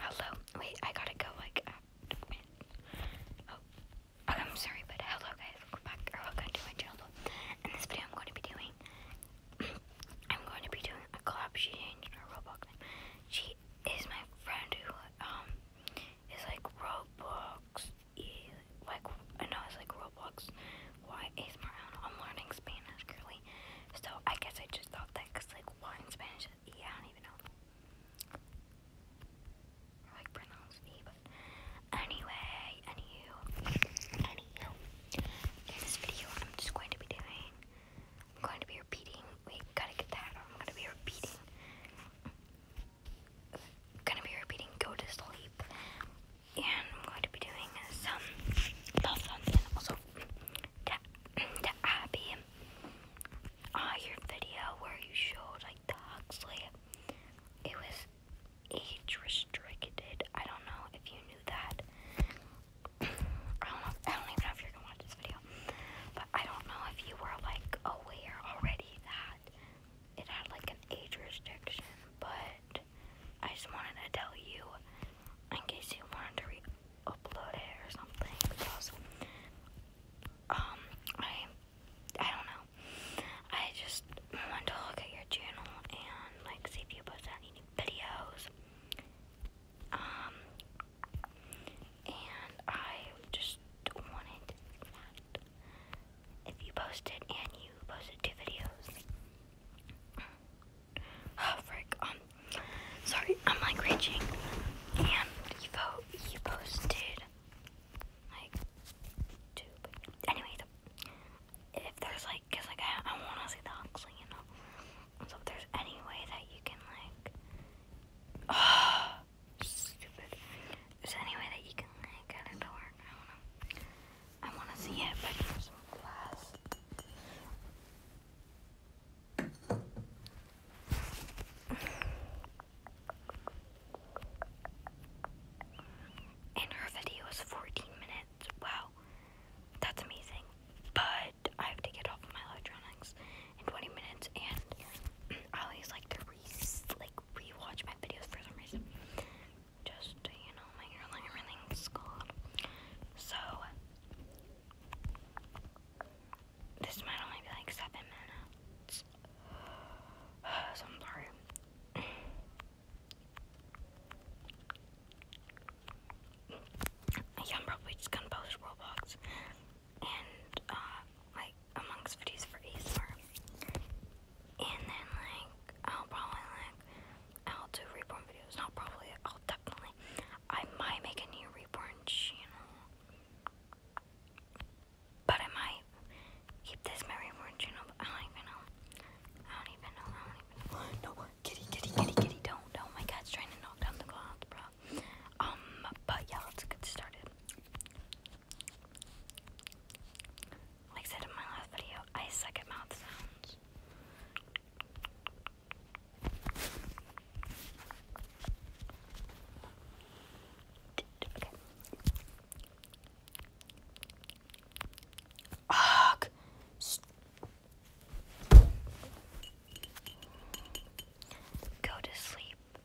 Hello. Wait, I gotta go like uh, Oh. I'm sorry, but hello guys. Welcome back welcome to my channel. In this video I'm going to be doing I'm going to be doing a collab she changed Roblox She is my friend who um is like Roblox like I know it's like Roblox Why? smart my do I'm learning Spanish currently. So I guess I just thought that because like why in Spanish? Yeah, I don't even know. like pronounce E, but anyway, anywho, anywho. In this video, I'm just going to be doing. I'm going to be repeating. Wait, gotta get that. I'm gonna be repeating. Gonna be repeating. Go to sleep and I'm going to be doing some love and also the, the Abby uh, your video where you showed like the Huxley. It was age restricted. I don't know if you knew that. I don't know. I don't even know if you're gonna watch this video, but I don't know if you were like aware already that it had like an age restriction, but I just wanted to tell you in case you wanted to re-upload it or something because um I I don't know. I just wanted to look at your channel and like see if you post any new videos. Um and I just wanted that if you posted and you posted two videos Oh, frick. Um, sorry, I'm like raging. And Evo, he posted like two. anyway, if there's like, cause like I, I want to see the Huxley, you know. So there's any way that you can like, oh, stupid. Is there any way that you can like get it to I want to see it, but there's some glass. And her video is 14 minutes. Wow, that's amazing. But I have to get off my electronics in 20 minutes, and I always like re like rewatch my videos for some reason just you know, make sure like everything's cool. So this might only be like seven minutes. so I'm sorry. yeah, I'm probably just gonna post Roblox and uh, like amongst videos for ASMR. And then like I'll probably like I'll do reborn videos. Not probably I'll definitely I might make a new reborn channel. But I might keep this my reborn channel, I don't even know. I don't even know. I don't even know. No, kitty, kitty, kitty, kitty, don't. Oh my god, it's trying to knock down the clouds, bro. Um, but yeah, let's get started. Like I said in my last video, I suck at mouth sounds. Ugh. Go to sleep.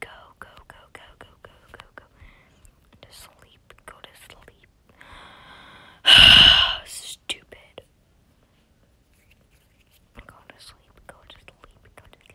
Go, go, go, go, go, go, go, go. To sleep. Go to sleep. Stupid. Go to sleep. Go to sleep. Go to sleep.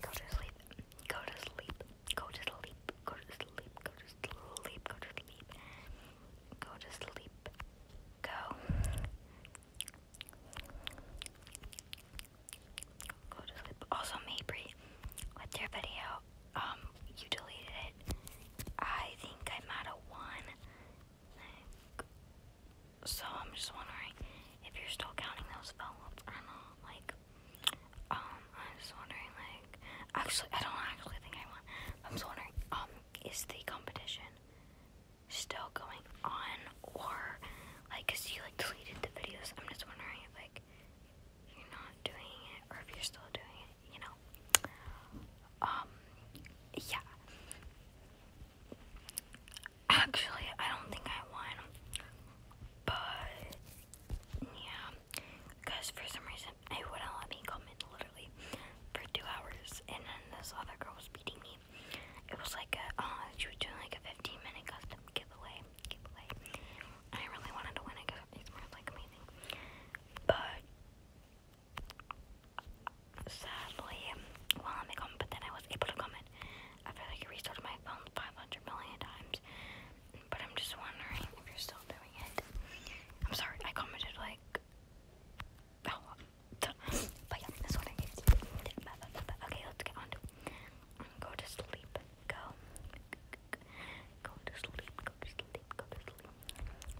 Go to sleep. Go to sleep. Go to sleep. Go to sleep. Go to sleep. Go to sleep. Go to sleep. Go. Go to sleep. Also, Mabry, with your video, um, you deleted it. I think I'm out of one. So I'm just wondering if you're still counting those envelopes or not. Like, um, I'm just wondering, like, actually, I don't actually think I won. I'm just wondering, um, is the competition still going on or, like, cause you like deleted the videos. I'm just wondering if like you're not doing it or if you're still doing it. You know. Um. Yeah. Actually, I don't think I won. But, yeah. Because for some reason, they wouldn't let me in literally for two hours. And then this other girl was beating me. It was like a, uh, she was doing like a 15 minute custom giveaway. I really wanted to win because it's more like amazing. But, sadly, well, let me comment, but then I was able to comment. I feel like I restarted my phone 500 million times, but I'm just wondering if you're still doing it. I'm sorry, I commented like, oh, but yeah, that's what I Okay, let's get on Go to sleep. Go. Go to sleep. Go to sleep.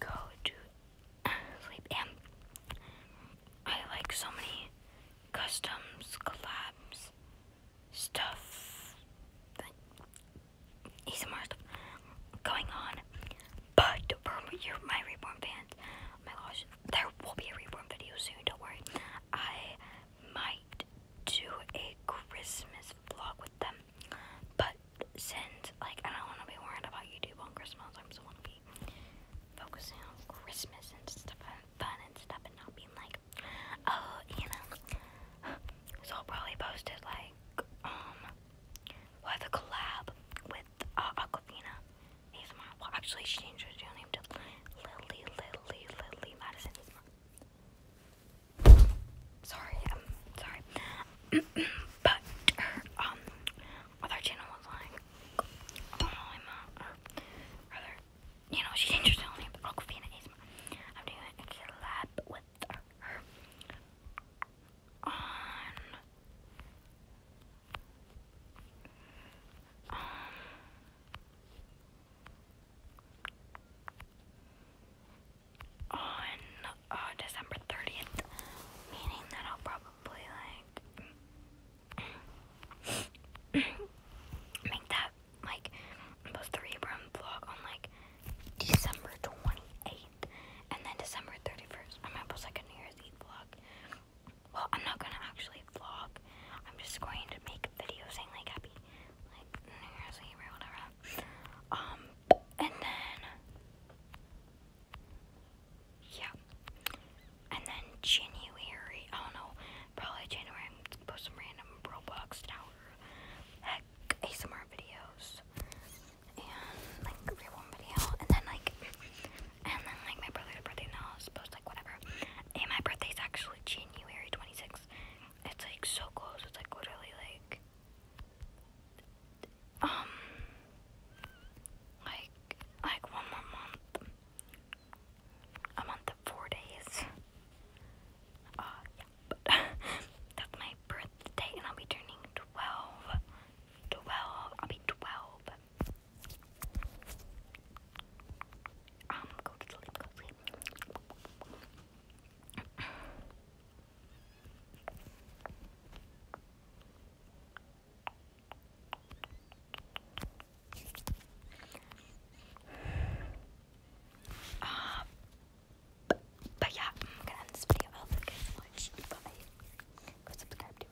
go to uh, sleep. And I like so many customs, collabs, stuff, ASMR stuff going on. But for your, my Reborn fans, oh my gosh, there will be a Reborn video soon, don't worry. I might might do a Christmas vlog with them, but since like I don't want to be worried about YouTube on Christmas, I just want to be focusing on Christmas and stuff and fun and stuff, and not being like, oh, you know. So I'll probably post it like um, we'll have a collab with uh, Aquafina. ASMR. Well, actually, she changed her name to Lily Lily Lily Madison ASMR. Sorry, sorry. but um, other channel was like, Alima, or rather, you know, she changed her channel name, but Aquafina is my, I'm doing a collab with her on, um, on uh, December 30th, meaning that I'll probably like make that like post the Abram vlog on like December 28th and then December 31st. I might post like a New Year's Eve vlog. Well, I'm not gonna actually vlog. I'm just going to make videos saying like happy like New Year's Eve or whatever. Um and then yeah. And then January, I do probably January I'm post some random Roblox Tower heck ASMR videos and like real video and then like and then like my brother's birthday now is supposed like whatever. And my is actually January 26th. It's like so close. It's like literally like um like like one more month. A month of four days. Uh yeah. That's my birthday and I'll be turning 12. 12. I'll be 12. Um, but, yeah, I'm gonna end this video. I hope you guys watch. Bye. Go subscribe to